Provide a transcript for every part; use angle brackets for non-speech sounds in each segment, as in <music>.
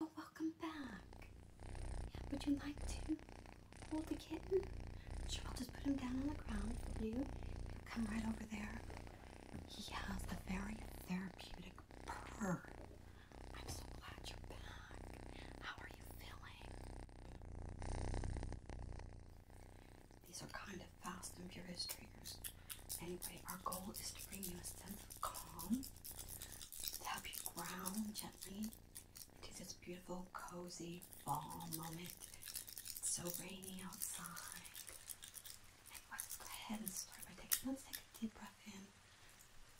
Oh, welcome back. would you like to hold the kitten? Sure, I'll just put him down on the ground for you. come right over there. He has a very therapeutic purr. I'm so glad you're back. How are you feeling? These are kind of fast and furious triggers. Anyway, our goal is to bring you a sense of calm to help you ground gently to this beautiful, cozy fall moment. It's so rainy outside. And let's go ahead and start by taking one second deep breath in.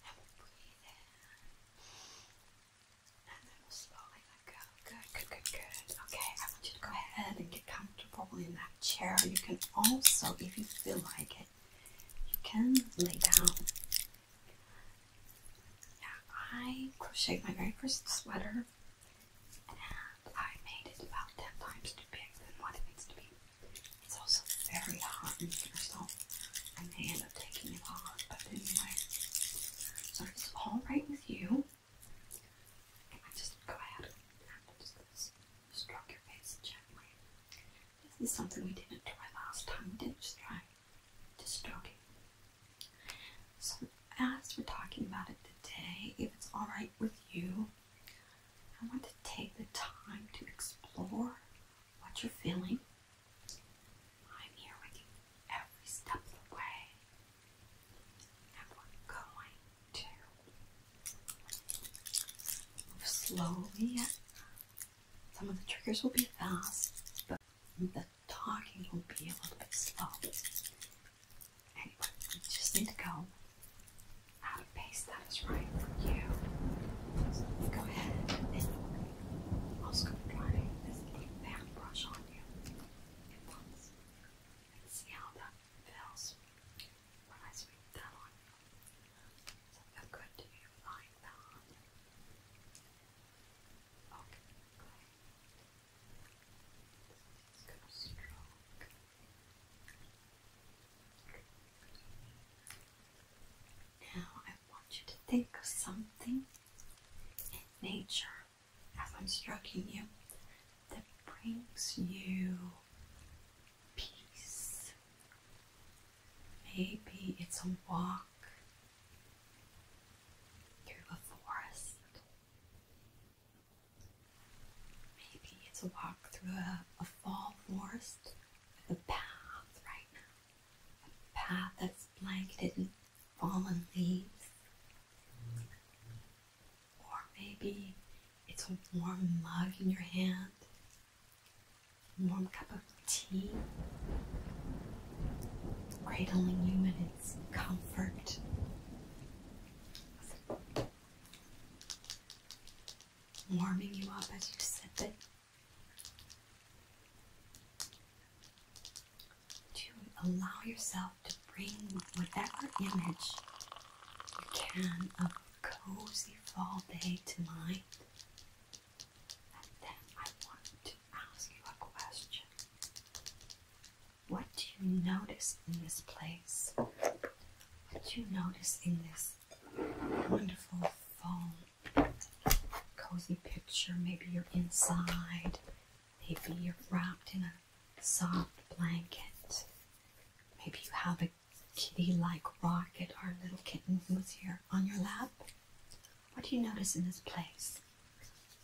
And breathe And then slowly let go. Good, good, good, good. Okay, I want you to go ahead and get comfortable in that chair. You can also, if you feel like it, you can lay down. Yeah, I crocheted my very first sweater and I made it about 10 times too big than what it needs to be. It's also very hot in here, so I may end up taking it off, but anyway. So if it's alright with you, I just go ahead and just stroke your face gently. This is something we didn't do it last time. We didn't just try just stroking. So as we're talking about it today, if it's alright with you, I want to take the time to explore what you're feeling. I'm here with you every step of the way. And we're going to move slowly some of the triggers will be fast, but the talking will be a little bit slow. Anyway, you just need to go at a pace that is right for you. go ahead I'm also going this little brush on you see how that feels when I sweep that on you. So feel good to you. Now I want you to think of something in nature as I'm stroking you that brings you peace Maybe it's a walk through a forest. Maybe it's a walk through a, fall forest with a path right now. A path that's blanketed in fallen leaves. Or maybe it's a warm mug in your hand warm cup of tea, cradling you in its comfort. Warming you up as you sip it. To allow yourself to bring whatever image you can of a cozy fall day to mind then I want to ask you a question. What do you notice in this place? What do you notice in this wonderful phone? Cozy picture. Maybe you're inside. Maybe you're wrapped in a soft blanket. Maybe you have a kitty like rocket, our little kitten who's here on your lap, what do you notice in this place?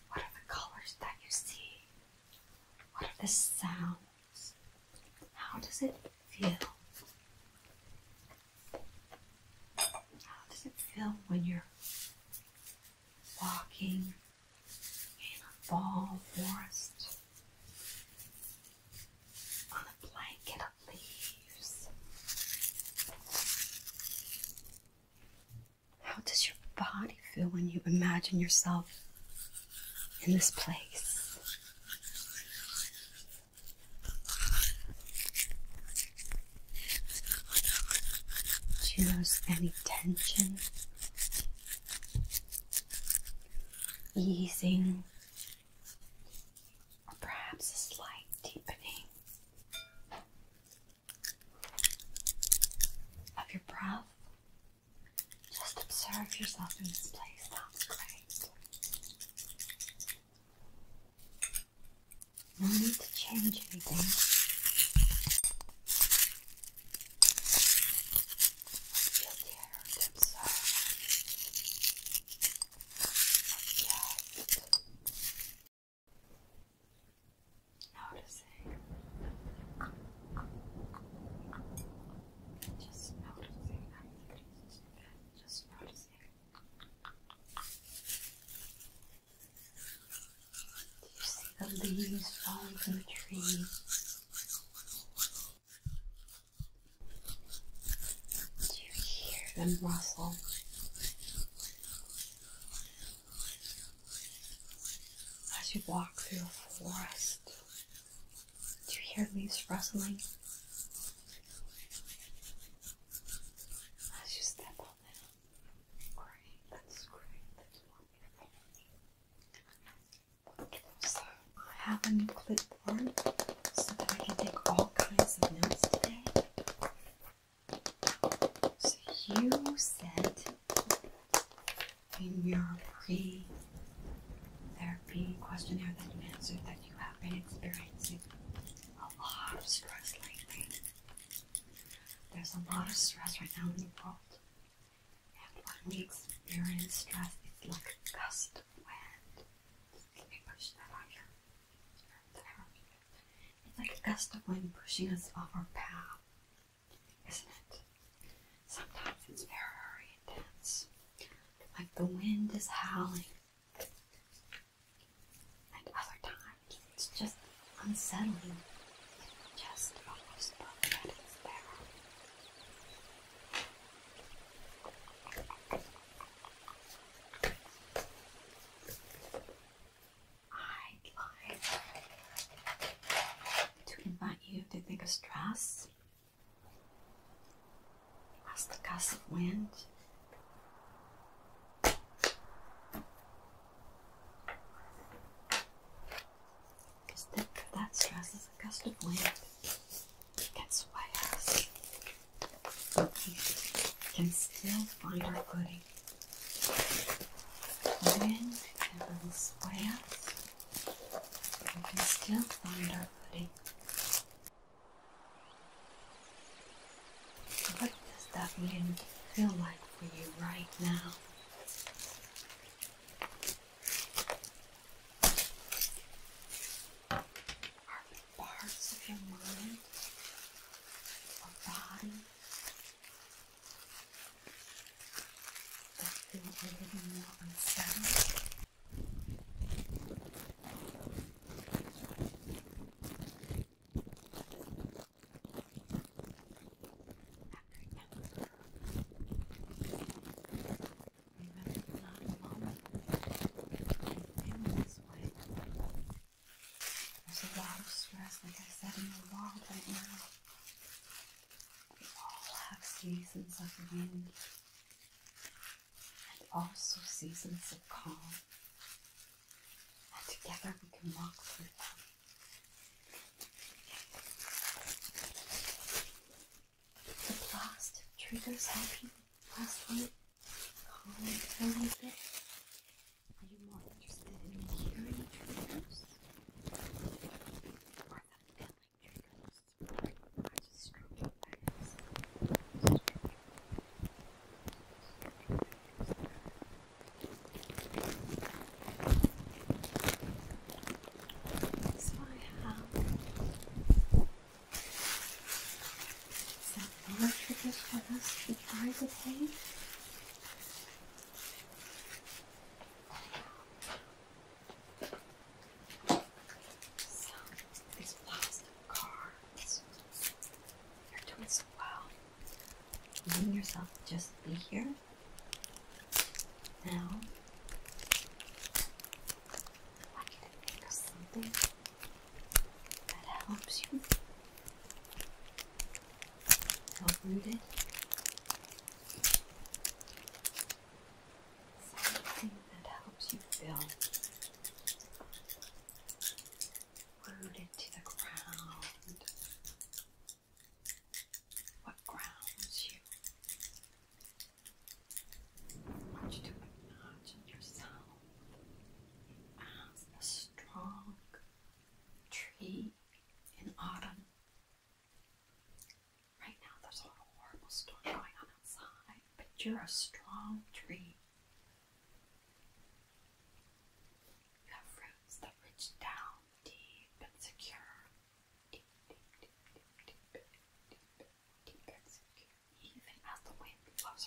What are the colors that you see? What are the sounds? How does it feel? How does it feel when you're walking in a fall forest? On a blanket leaves. How does your body feel when you imagine yourself in this place? Do you notice any tension? Easing or perhaps a slight deepening of your breath. Just observe yourself in this place. That's great. No need to change anything. Feel the observe. Yes. Noticing. Just noticing activities. Just noticing. Do you see the leaves falling from the tree? as you hear them rustle. As you walk through a forest, do you hear leaves rustling? As you step on them, great, that's great, that's wonderful. I have a new clipboard so that I can take all kinds of notes today. So you said in your pre therapy questionnaire that you answered that you have been experiencing a lot of stress lately. There's a lot of stress right now in the world. And when we experience stress, it's like a gust of wind. Let me push that on your, your therapy it's like a gust of wind pushing us off our path, isn't it? Sometimes it's very, intense, like the wind is howling, and other times it's just unsettling, just almost perfect. There. I'd like to invite you to take a stress as the gust of wind. Because that, that stress is a gust of wind. It gets but we can still find our footing. When and a we can still find our footing. What does that wind feel like for you right now? parts of your mind or body that feel a more unsettled. Remember, not alone. I feel this way. There's a lot of stress, like I said, in the world right now. We all have seasons of wind and also seasons of calm. And together we can walk through them. The plastic triggers help last one, Colin, tell me this. Are you more interested in the hearing triggers? Or the feeling triggers? Or just stroking eyes? So I have more triggers for us to try to think. So, these plastic cards. You're doing so well. Letting yourself just be here. Now, I can think of something that helps you uprooted something that helps you feel rooted to the ground what grounds you I you to acknowledge in yourself as a strong tree in autumn. Right now, there's a lot horrible storm going on outside, but you're a strong tree. You have roots that reach down deep and secure. deep, deep, deep, deep, deep, deep and secure. Even as the wind even as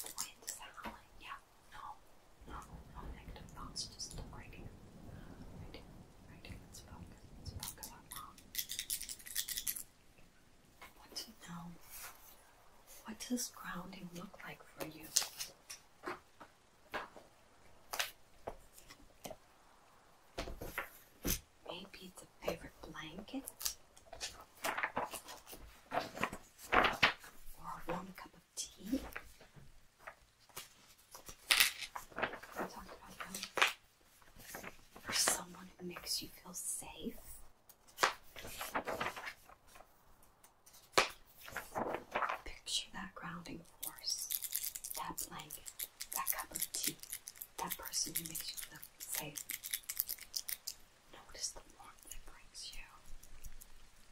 the wind is howling, yeah, no, no, no negative thoughts, just look right here. Right here, right here, let's focus, let's focus on mom. to know, what does grounding look like for you? Maybe it's a favorite blanket or a warm cup of tea. Or someone who makes you feel safe. Picture that grounding force, that blanket, that cup of tea, that person who makes you feel safe. Notice the warmth that brings you.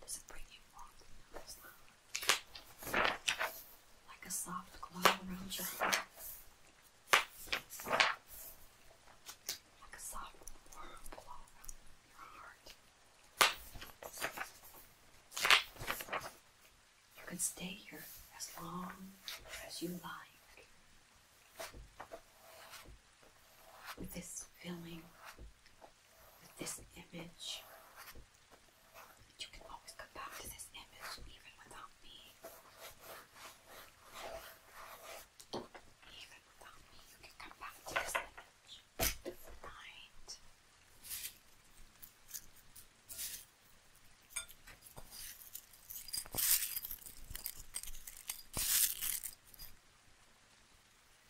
Does it bring you warmth? Like a soft glow around your heart. Like a soft warm glow around your heart. You can stay here as long as you like. With this feeling, with this image, you can always come back to this image even without me. Even without me, you can come back to this image night.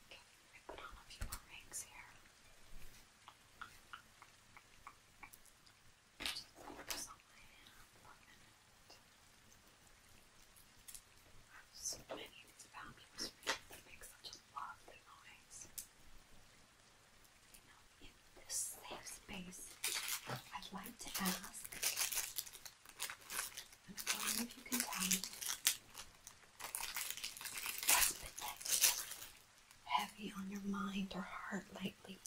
Okay, I put on a few more rings here. so many of these vampires rings. make such a lovely noise in this safe space, I'd like to ask, if you can tell me, what's been heavy on your mind or heart lately?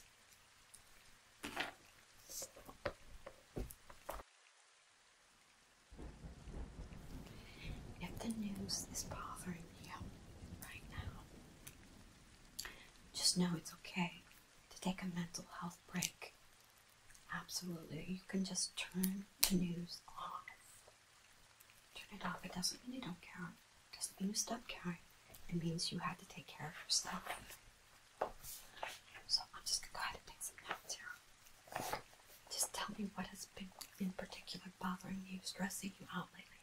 If the news is bothering with right now. Just know it's okay to take a mental health break. Absolutely. You can just turn the news off. Turn it off. It doesn't mean you don't care. It doesn't mean you stop caring. It means you had to take care of yourself. So I'm just gonna go ahead and take some notes here. Just tell me what has been in particular bothering you, stressing you out lately.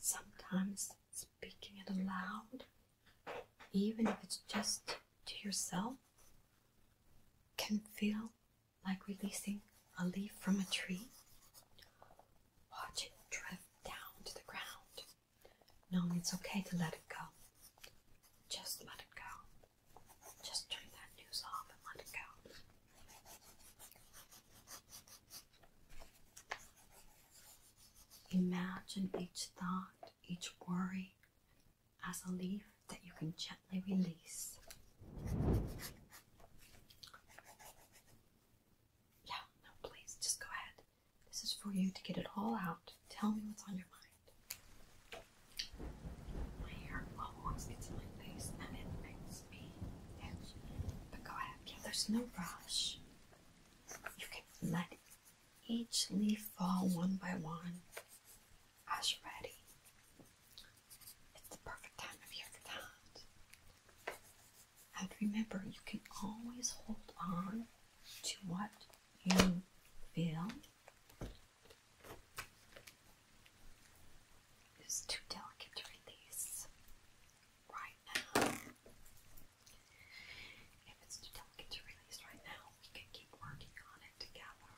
Sometimes speaking it aloud, even if it's just to yourself, can feel like releasing a leaf from a tree. Watch it drift down to the ground. No, it's okay to let it go. Just let it go. Just turn that news off and let it go. Imagine each thought, each worry as a leaf that you can gently release. Yeah, no, please, just go ahead. This is for you to get it all out. Tell me what's on your mind. My hair always gets in my face and it makes but go ahead. there's no rush. You can let each leaf fall one by one as you're ready. It's the perfect time of year for that. And remember, you can always hold on to what you feel is too delicate to release right now. If it's too delicate to release right now, we can keep working on it together.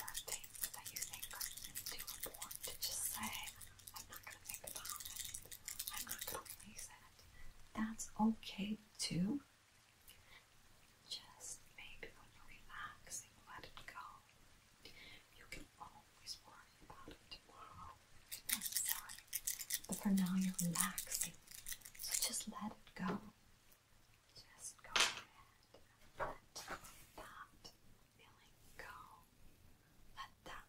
There are that you think are too to just say, I'm not going to think about it, I'm not going to release it. That's okay too just maybe when you're relaxing, let it go. You can always worry about tomorrow. But for now you're relaxing. So just let it go. Just go ahead let that feeling go. Let that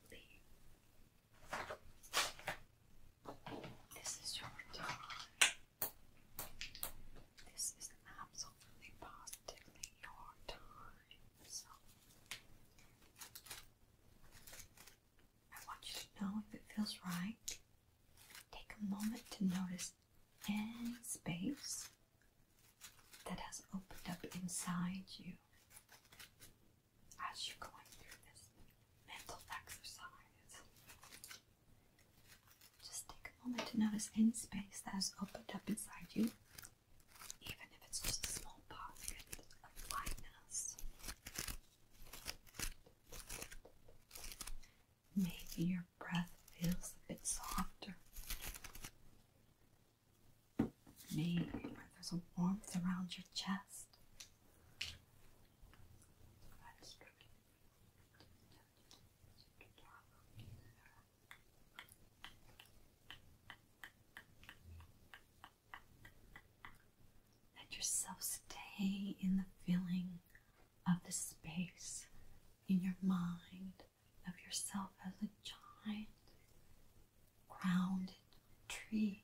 leave. This is your time. This is absolutely positively your time. So I want you to know if it feels right. Take a moment to notice any space that has opened up inside you as you're going through this mental exercise. Just take a moment to notice any space that has opened up inside you, even if it's just a small pocket of lightness. Maybe your breath feels a bit softer. Maybe there's a warmth around your chest. Let yourself stay in the feeling of the space in your mind of yourself as a giant, grounded tree.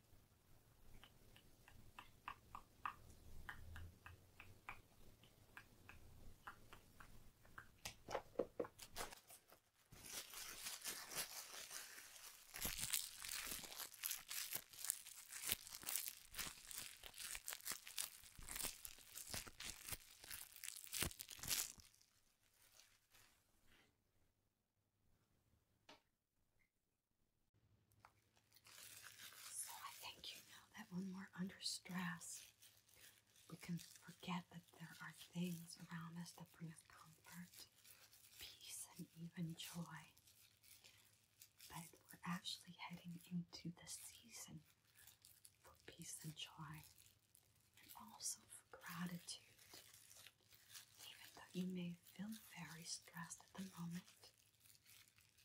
So I think you know that when we under stress, we can forget that there are things around us that bring us comfort, peace, and even joy. But we're actually heading into the season for peace and joy, and also for gratitude. Even though you may feel very stressed at the moment,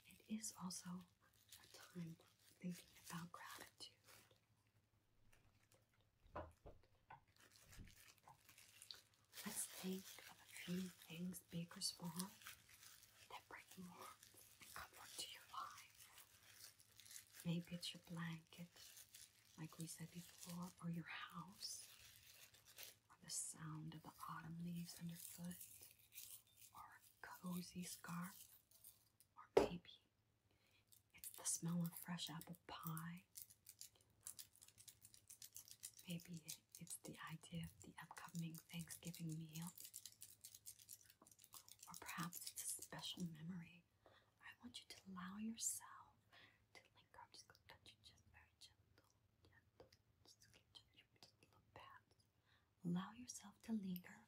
it is also a time thinking about gratitude Let's think of a few things, big or small, that bring warmth comfort to your life. Maybe it's your blanket, like we said before, or your house, or the sound of the autumn leaves underfoot, or a cozy scarf, or maybe it's the smell of fresh apple pie. Maybe it's the idea of the upcoming Thanksgiving meal. Or perhaps it's a special memory. I want you to allow yourself to linger. just touch you just very gentle. Gentle. Just, just, just, little pats. Allow yourself to linger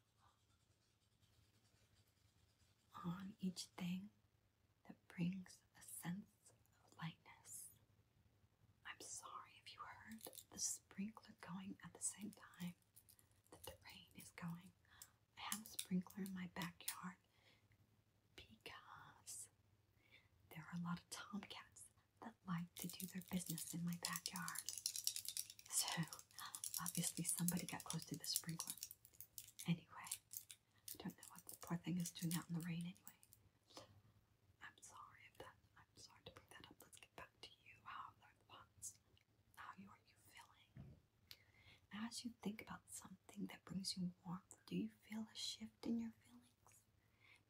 on each thing that brings a sense of lightness. I'm sorry if you heard the sprinkler going at the same time that the rain is going. I have a sprinkler in my backyard because there are a lot of tomcats that like to do their business in my backyard. So Obviously, somebody got close to the sprinkler. Anyway, I don't know what the poor thing is doing out in the rain anyway. I'm sorry if that, I'm sorry to bring that up. Let's get back to you. How are the thoughts? How are you feeling? as you think about something that brings you warmth, do you feel a shift in your feelings?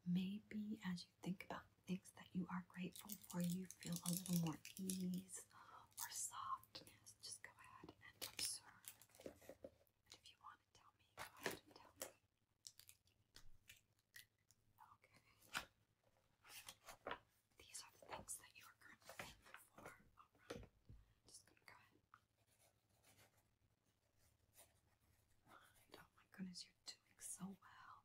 Maybe as you think about things that you are grateful for, you feel a little more ease or softness, just go ahead and observe. And if you want to tell me, go ahead and tell me. Okay. These are the things that you are currently thankful for. Just gonna go ahead. Oh my goodness, you're doing so well.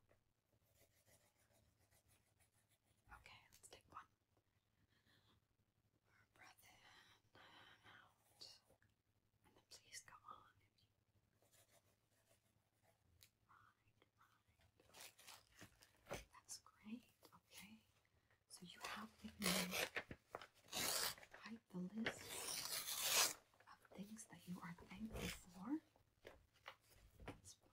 Okay, let's take one or please go on you That's great. Okay. So you have the list of things that you are thankful for.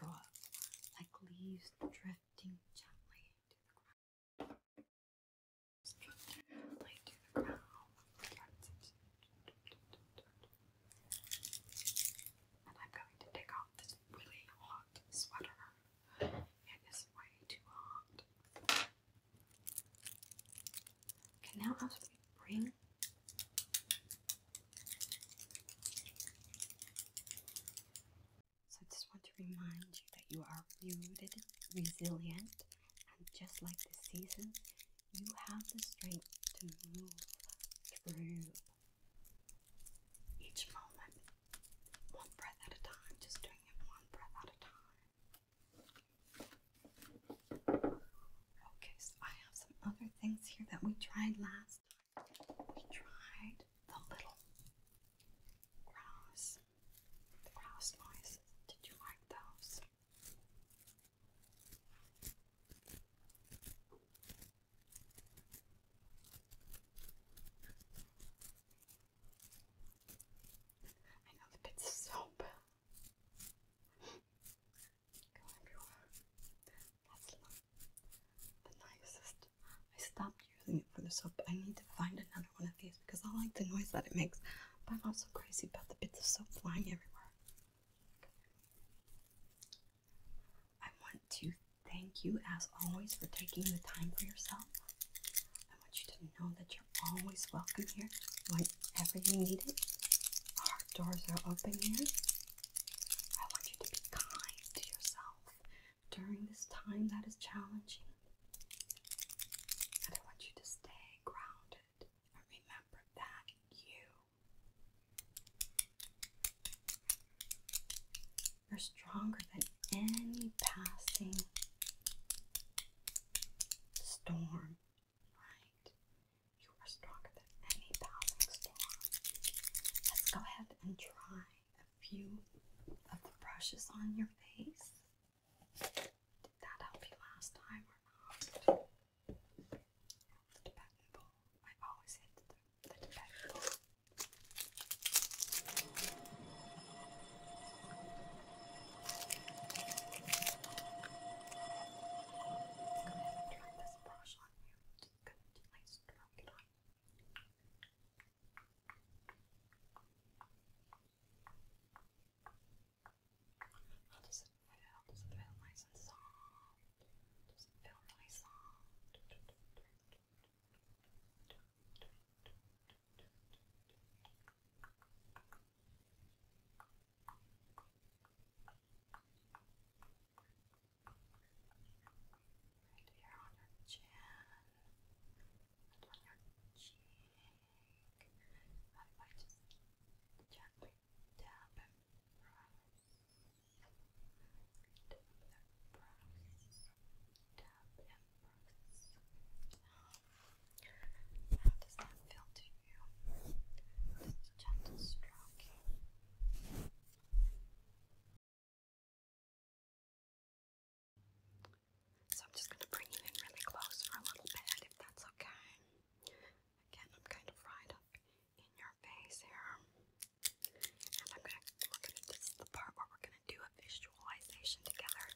go of, like leaves drifting gently into the ground. And I'm going to take off this really hot sweater. It is way too hot. Okay, now as we bring so I just want to remind you that you are rooted, resilient, and just like the seasons, you have the strength to move through each moment, one breath at a time, just doing it one breath at a time. Okay, so I have some other things here that we tried last time we tried the little grouse, the grouse Did you like those? I know the bits of soap <laughs> go everywhere. That's lovely the nicest. I stopped using it for the soap, but I need to find another one of these because I like the noise that it makes. But I'm also crazy about the bits of soap flying everywhere. I want to thank you, as always, for taking the time for yourself. I want you to know that you're always welcome here whenever you need it. Our doors are open here. I want you to be kind to yourself during this time that is challenging. And I want you to stay grounded and remember that you, you're stronger than any passing storm, right? You are stronger than any passing storm. Let's go ahead and try a few of the brushes on your face. Did that help you last time or not? The Tibetan bowl. I always hit the, the Tibetan bowl. Go and try this brush on you. Just gently stroke it on how does feel? Does feel nice and soft? Does feel really soft? Right here on your chin, and on your cheek. I might just gently tap and press. Tap and press. Tap and press. How does that feel to you? Just a stroking. So I'm just going to bring you in really close for a little bit, if that's okay. Again, I'm kind of right up in your face here. And I'm gonna this is the part where we're gonna do a visualization together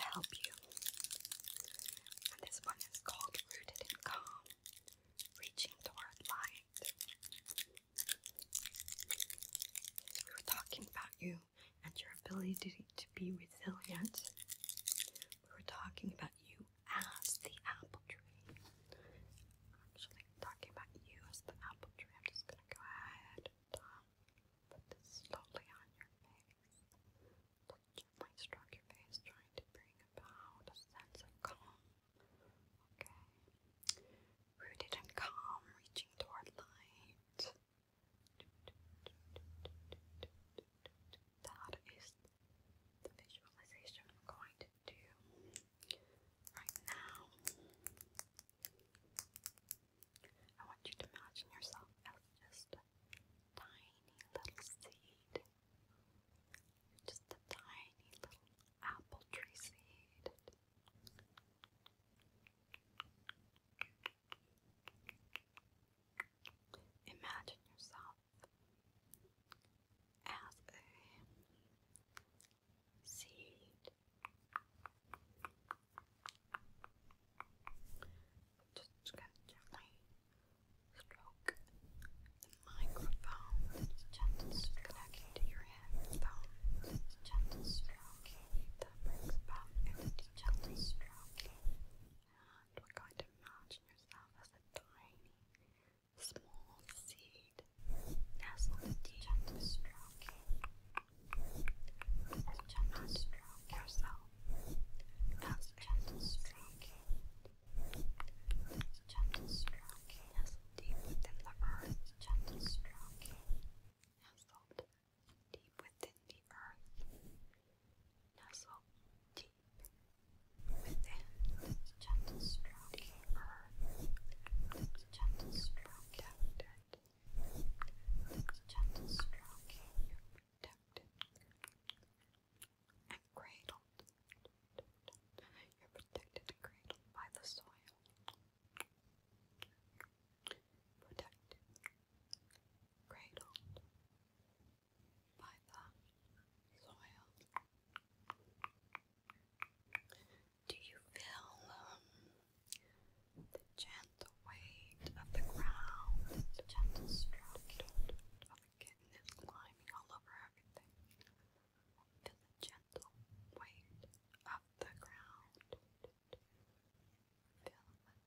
to help you. And this one is called Rooted in Calm, Reaching Toward Mind. We were talking about you and your ability to be resilient. We were talking about you as the apple tree. Actually, talking about you as the apple tree. I'm just gonna go ahead put this slowly on your face. Which might stroke your face, trying to bring about a sense of calm Okay. Rooted and calm, reaching toward light. That is the visualization I'm going to do right now. I want you to imagine yourself as just a tiny little seed. Just a tiny little apple tree seed. Imagine yourself as a seed. Just going gently stroke the microphone just connected to your hand found gentle stroking that brings about with the gentle stroking. And we're going to imagine yourself as a tiny, small seed nestled with the gentle stroking. With the gentle stroke yourself. That's gentle stroking. Gentle stroking as Deep within the earth's gentle stroke, nestled deep within the earth, nestled deep within its gentle stroke, earth, its gentle stroke, protected, its gentle stroke, you're protected, and cradled, you're protected and cradled by the soil protected, cradled by the soil. Do you feel um, the gentle weight of the ground, the gentle stroke of the kitten climbing all over everything? to the gentle weight of the ground. Feel the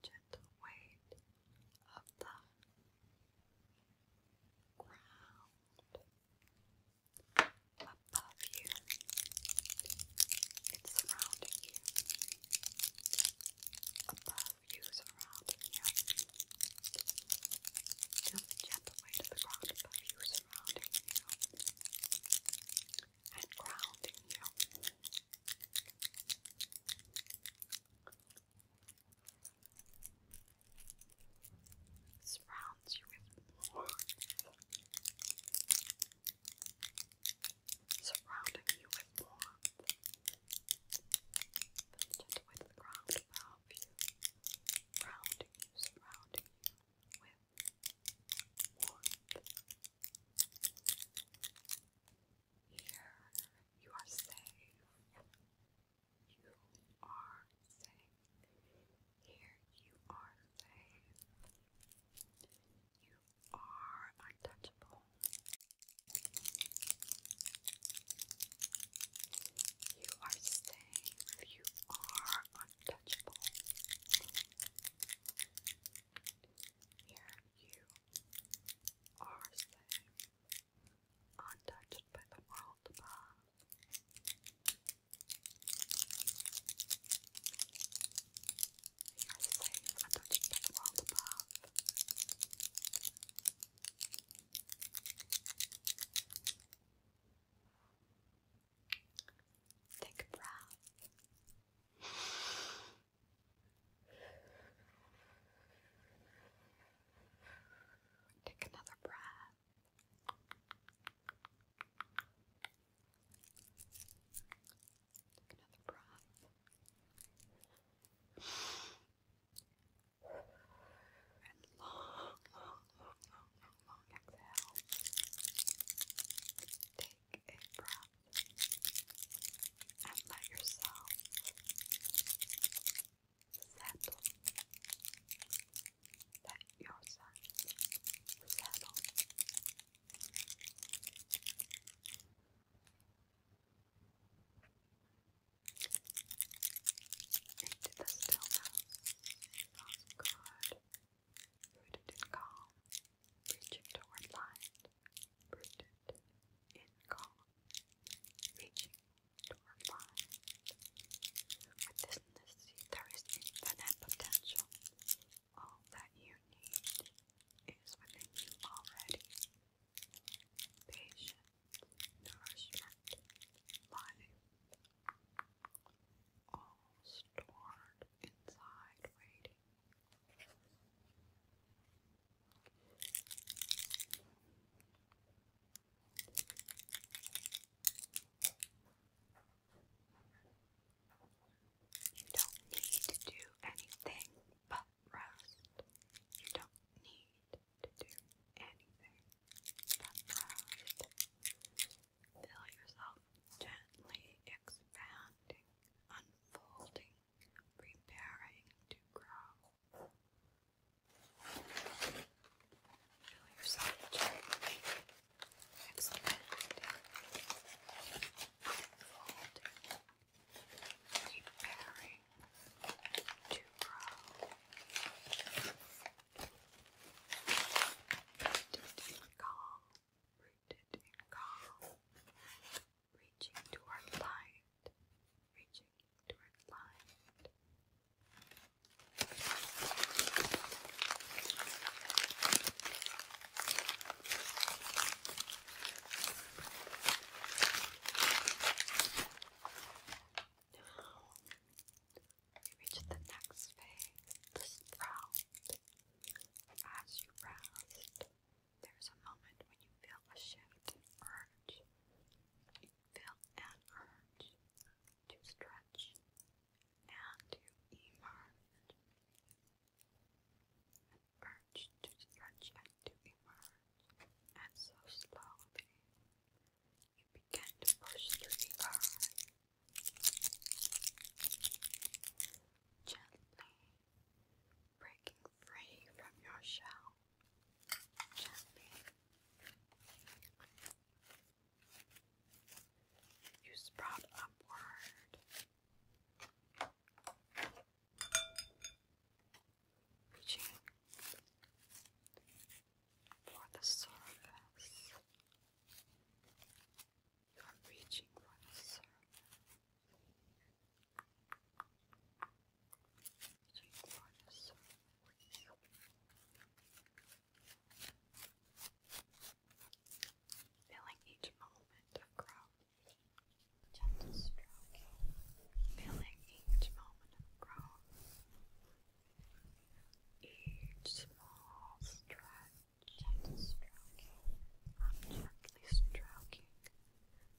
gentle weight of the ground above you. It's surrounding you. Above you, surrounding you. Feel the gentle weight of the ground above you, surrounding you and grounding you. Surrounds you with warmth, surrounding you with warmth, with ground above you, grounding you, surrounding you with here you are safe. You are safe. Here you are safe. You are untouchable. You are safe. You are untouchable. Here you are safe, untouched by the world above. You are safe, untouched by the world above. Take a breath. Take another breath. another breath. And long, long, long, long exhale. Take a breath and let yourself settle. Let yourself settle. Into the stillness. It good. Rooted in calm, reaching toward light. Rooted in calm, reaching toward light. Within the sea, there is infinite potential. All that you need is within you already. Patience, nourishment, life, all stored inside waiting. You don't need to do anything but rest. You don't need to do anything but rest. Feel yourself gently expanding, unfolding, preparing to grow. Feel yourself gently expanding, unfolding, preparing to grow. To feel calm, reaching toward light, reaching toward light. Now we reach the next phase, the sprout. As you rest, there's a moment when you feel a shift urge. feel an urge to stretch and to emerge. urge to stretch and to emerge. And so slowly, you begin to push through the Gently breaking free from your shell. Gently. You sprout upward. Reaching for the surface. You are reaching for Reaching for the each moment of growth. Gentle stroke. Feeling each moment of growth. Each small stretch. Gently stroking, I'm gently stroking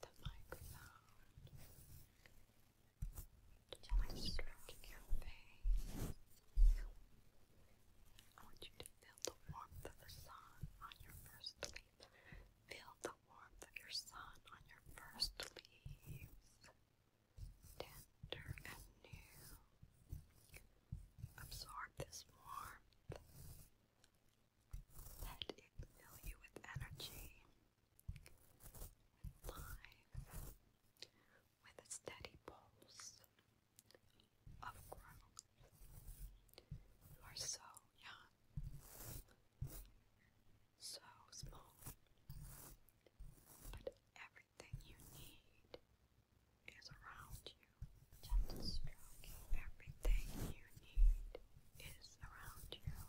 the microphone. Gently stroking your face. I want you to feel the warmth of the sun on your first leaves. Feel the warmth of your sun on your first leaves. Tender and new absorb this warmth. Let it fill you with energy, with life, with a steady pulse of growth. You are so young, so small, but everything you need is around you. Gentle stroking. Everything you need is around you.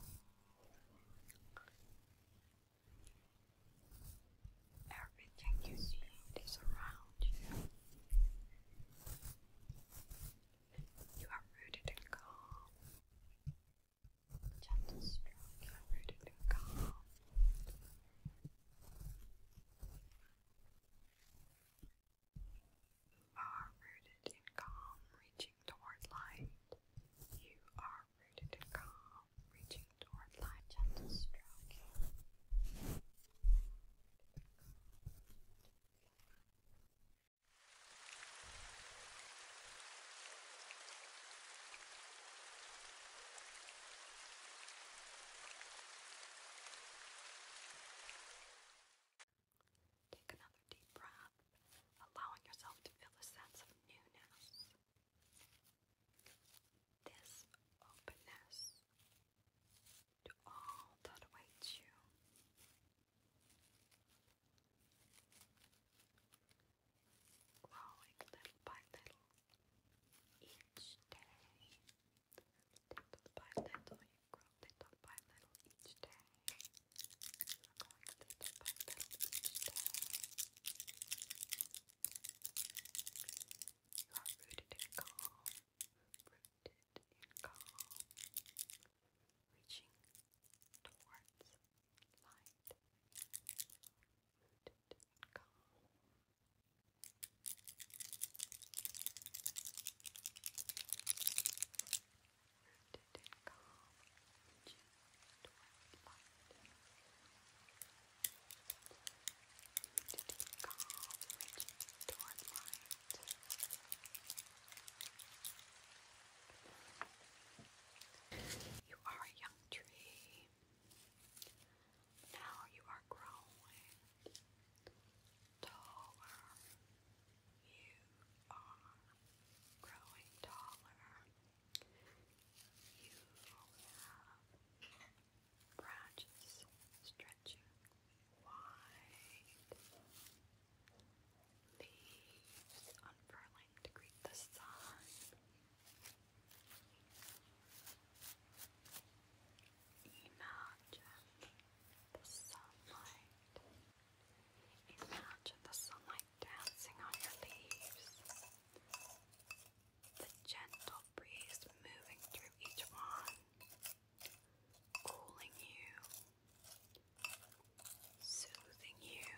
Everything you need is around you. You are rooted in calm. Gentle stroke, you are rooted in calm are rooted in calm, reaching toward light. You are rooted in calm, reaching toward light. Gentle stroking. Gentle stroking. Take another deep breath, allowing yourself to feel a sense of newness. This openness to all that awaits you. Growing little by little each day. Little by little, you grow little by little each day. You're rooted in calm, rooted in calm, reaching towards light, rooted in calm. Rooted in calm, just You are a young tree. Now you are growing taller. You are growing taller. You have branches stretching wide, leaves unfurling to greet the sun. Imagine the sunlight. Imagine the sunlight dancing on your leaves. The gentle breeze moving through each one, cooling you, soothing you.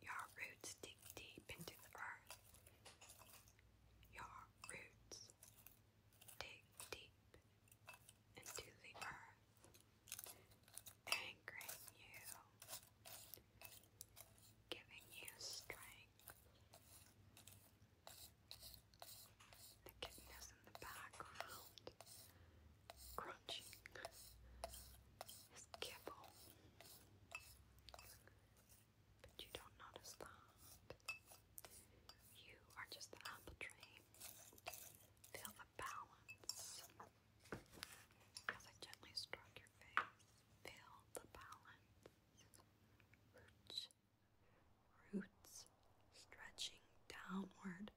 Your roots dig deep into the earth. Your roots dig deep into the earth, anchoring you, giving you strength. The kitten in the background, crunching his kibble but you don't notice that. You are just the apple tree. Feel the balance. As I gently stroke your face, feel the balance. Roots, roots stretching downward,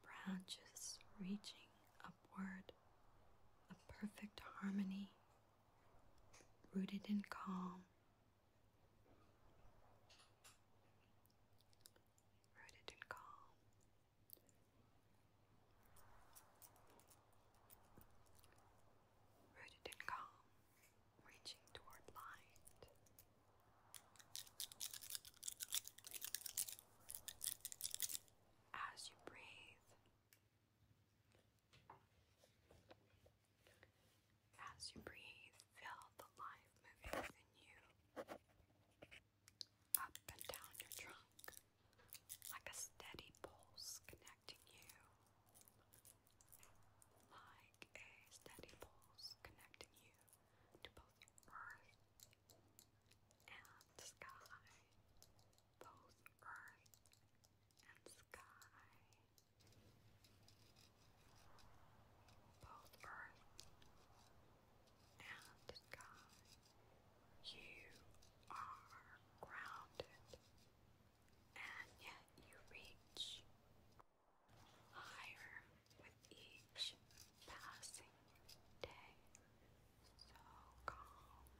branches reaching upward. A perfect harmony, rooted in calm, Rodent and Calm. Rodent and Calm, reaching toward light. As you breathe, as you breathe, feel the life moving within you, up and down your trunk, like a steady pulse connecting you, like a steady pulse connecting you to both earth and sky, both earth and sky, both earth and sky. You are grounded, and yet you reach higher with each passing day. So calm,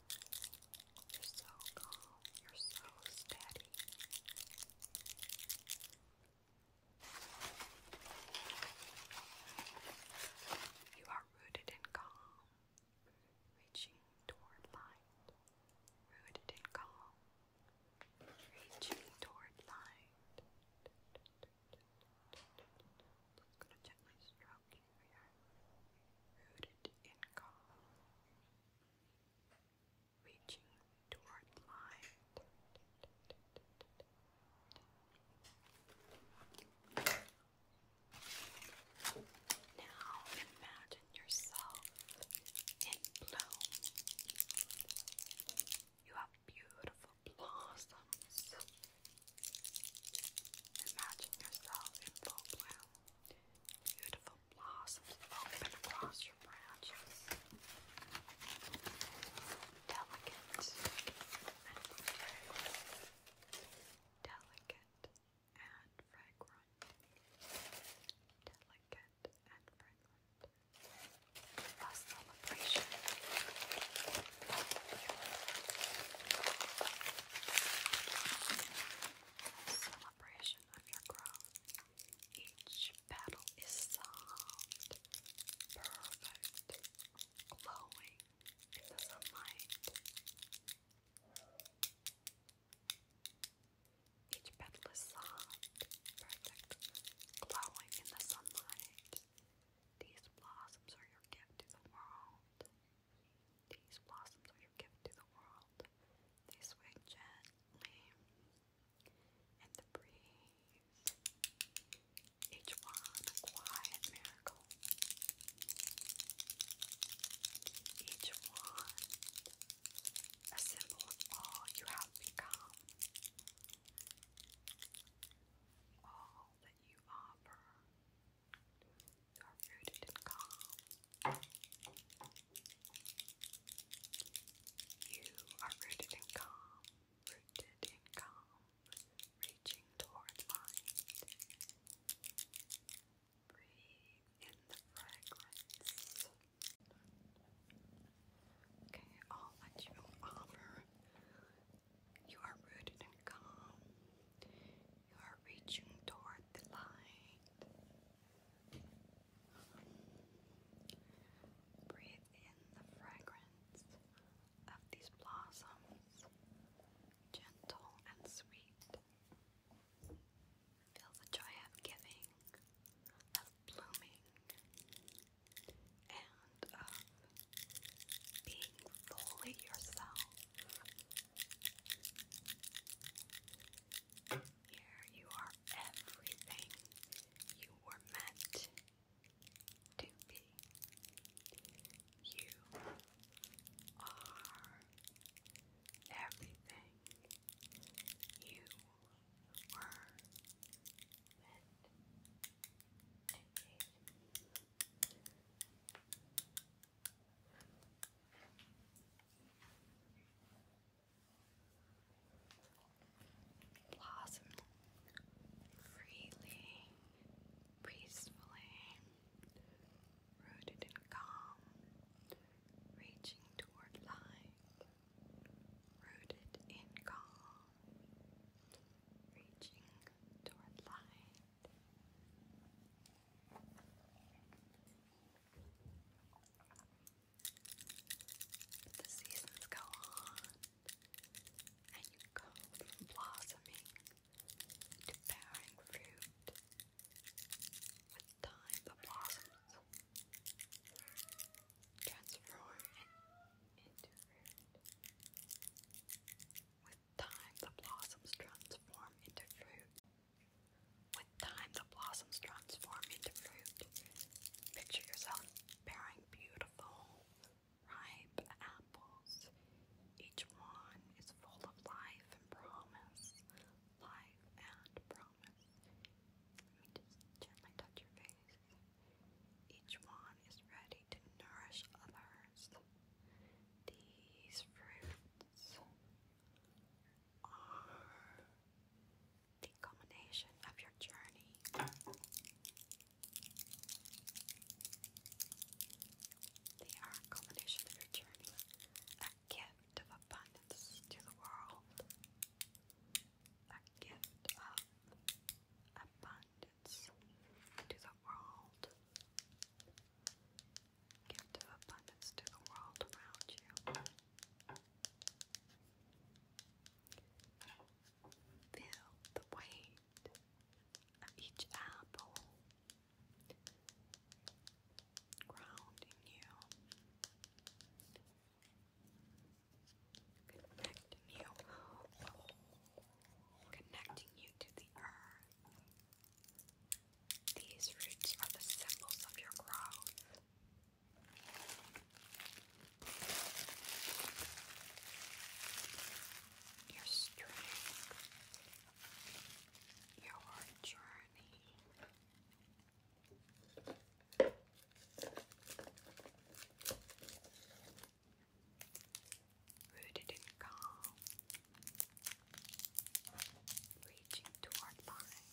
you're so calm. You're so steady. You are rooted in calm, reaching toward light. Rooted in calm, reaching toward light. Just gonna gently stroke you here. Rooted in calm reaching toward light. Now imagine yourself in bloom. You have beautiful blossoms. Imagine yourself in full bloom. Beautiful blossoms open across your branches. Delicate and fragrant. Delicate and fragrant. Delicate and fragrant. celebration. celebration of your growth. Each petal is soft, perfect, glowing in the sunlight. Each petal is soft, perfect, glowing in the sunlight. These blossoms are your gift to the world. These blossoms are your gift to the world. They sway gently and the breeze, each one a quiet miracle, each one a symbol of all you have become, all that you offer. You are rooted in calm. You are rooted in calm, rooted in calm, reaching towards mind. Breathe in the fragrance. Okay, I'll let you offer. You are rooted in calm. You are reaching toward the light. Breathe in the fragrance of these blossoms, gentle and sweet. Feel the joy of giving, of blooming, and of being fully yourself. Here you are everything you were meant to be. You are everything you were meant to be blossom freely, peacefully, rooted in calm, reaching toward light, rooted in calm, reaching toward light. The seasons go on, and you go from blossoming to bearing fruit. With time, the blossoms transform into fruit. With time, the blossoms transform into fruit. With time, the blossoms transform into fruit. Picture yourself bearing beautiful, ripe apples. Each one is full of life and promise. Life and promise. Let me just gently touch your face. Each one is ready to nourish others. These fruits are the culmination of your journey. They are culmination of your journey, a gift of abundance to the world, a gift of abundance to the world, gift of abundance to the world around you. Feel the weight of each apple grounding you, connecting you, connecting you to the earth. These roots are the symbols of your growth your strength, your journey. Rooted in calm, reaching toward light,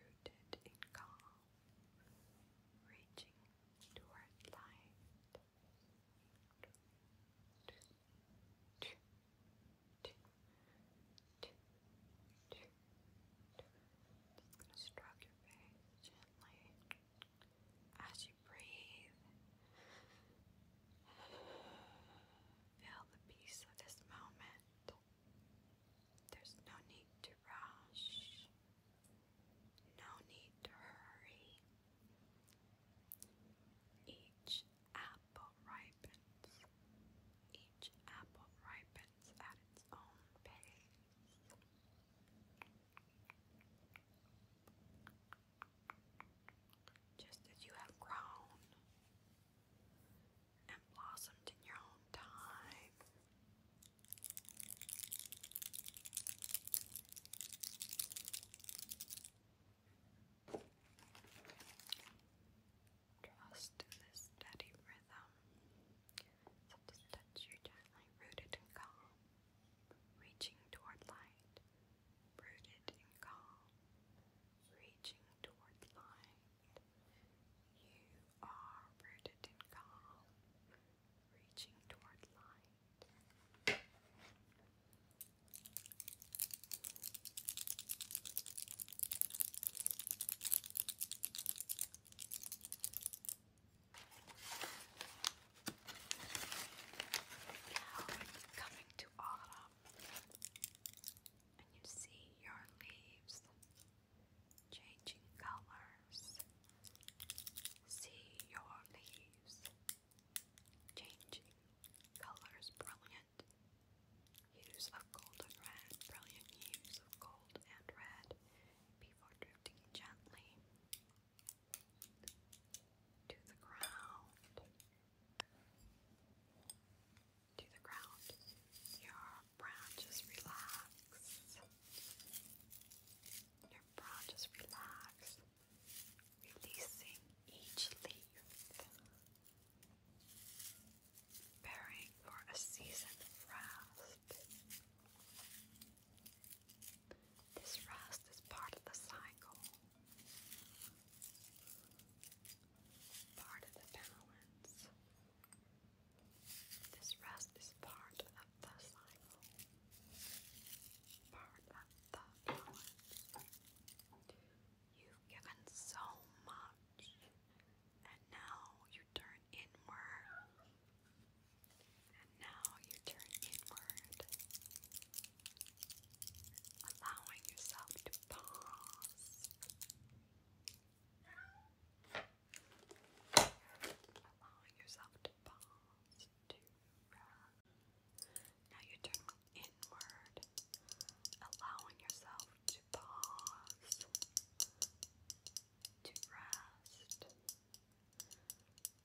rooted in calm, reaching toward light. Just gonna stroke your face gently as you breathe. Feel the peace of this moment. There's no need to rush, no need to hurry. Each apple ripens, each apple ripens at its own pace. Just as you have grown, and blossomed in your own time. Trust in this steady rhythm, touch you gently rooted and calm, reaching toward light, rooted and calm, reaching toward light. You are rooted in calm, reaching toward light. Now coming to autumn and you see your leaves changing colors. See your leaves changing colors, brilliant hues of gold red, brilliant hues of gold and red before drifting gently to the ground to the ground. Your brow just relax. Your brow just relax. Releasing each leaf. Preparing for a season rest. This rest is part of the cycle. Part of the balance. This rest is part of the cycle, part of the You've given so much, and now you turn inward. And now you turn inward, allowing yourself to pause Allow yourself to pause, to rest. Now you turn inward, allowing yourself to pause, to rest,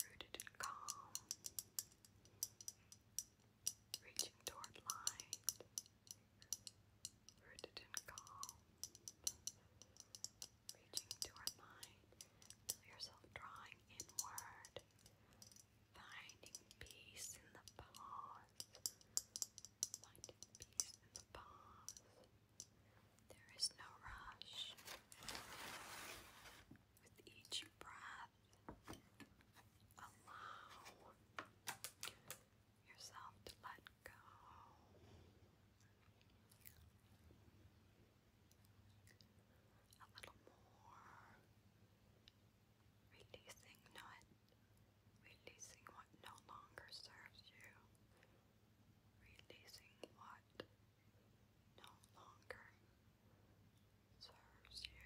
rooted in calm, reaching toward light rooted in calm, reaching toward light, feel yourself drawing inward, finding peace in the pause, finding peace in the pause. There is no rush. With each breath, allow yourself to let go. A little more. Releasing not releasing what no longer serves you. Releasing what no longer serves you.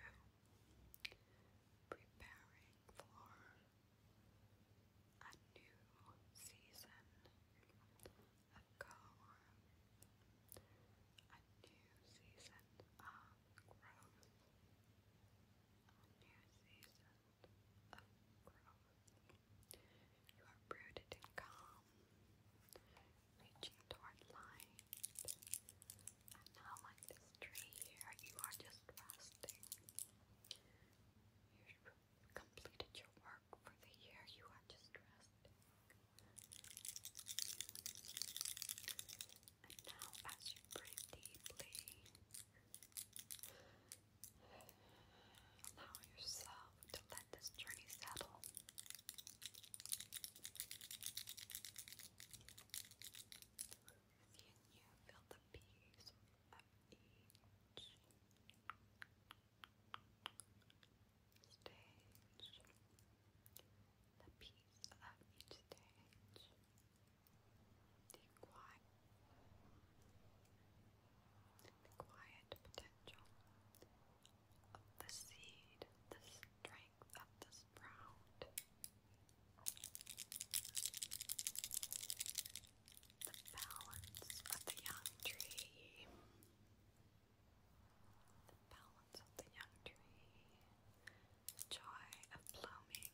Preparing for a new season of growth, a new season of growth. You are rooted and calm, reaching toward light. And now, like this tree here, you are just resting. You've completed your work for the year. You are just resting. And now, as you breathe deeply, allow yourself to let this journey settle. Can you feel the peace of each stage? The peace of each stage. The quiet, the quiet potential of the seed, the strength of the sprout the balance of the young tree. The balance of the young tree. The joy of blooming.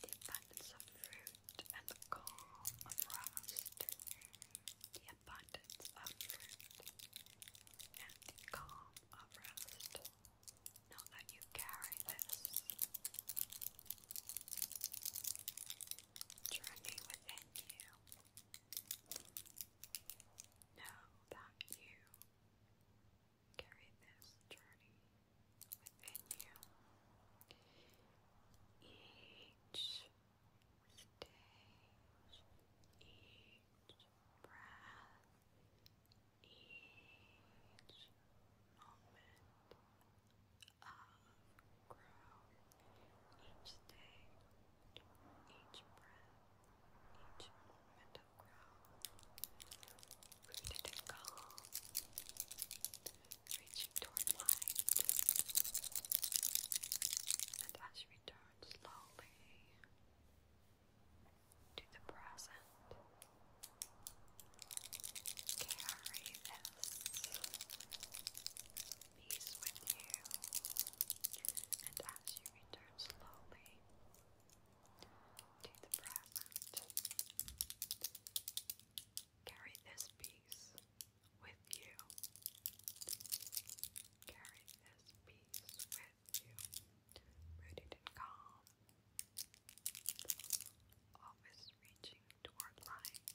The abundance of fruit and the calm of rest. The abundance of fruit and the calm of rest. Not that you carry this. Journey within you. Know that you carry this journey within you. Each stage, each breath, each moment of each day, each breath, each moment of growth, rooted reaching toward light, and as you return slowly to the present. Carry this peace with you, and as you return slowly to the present, carry this peace with you. Carry this peace with you, rooted in calm always reaching toward light.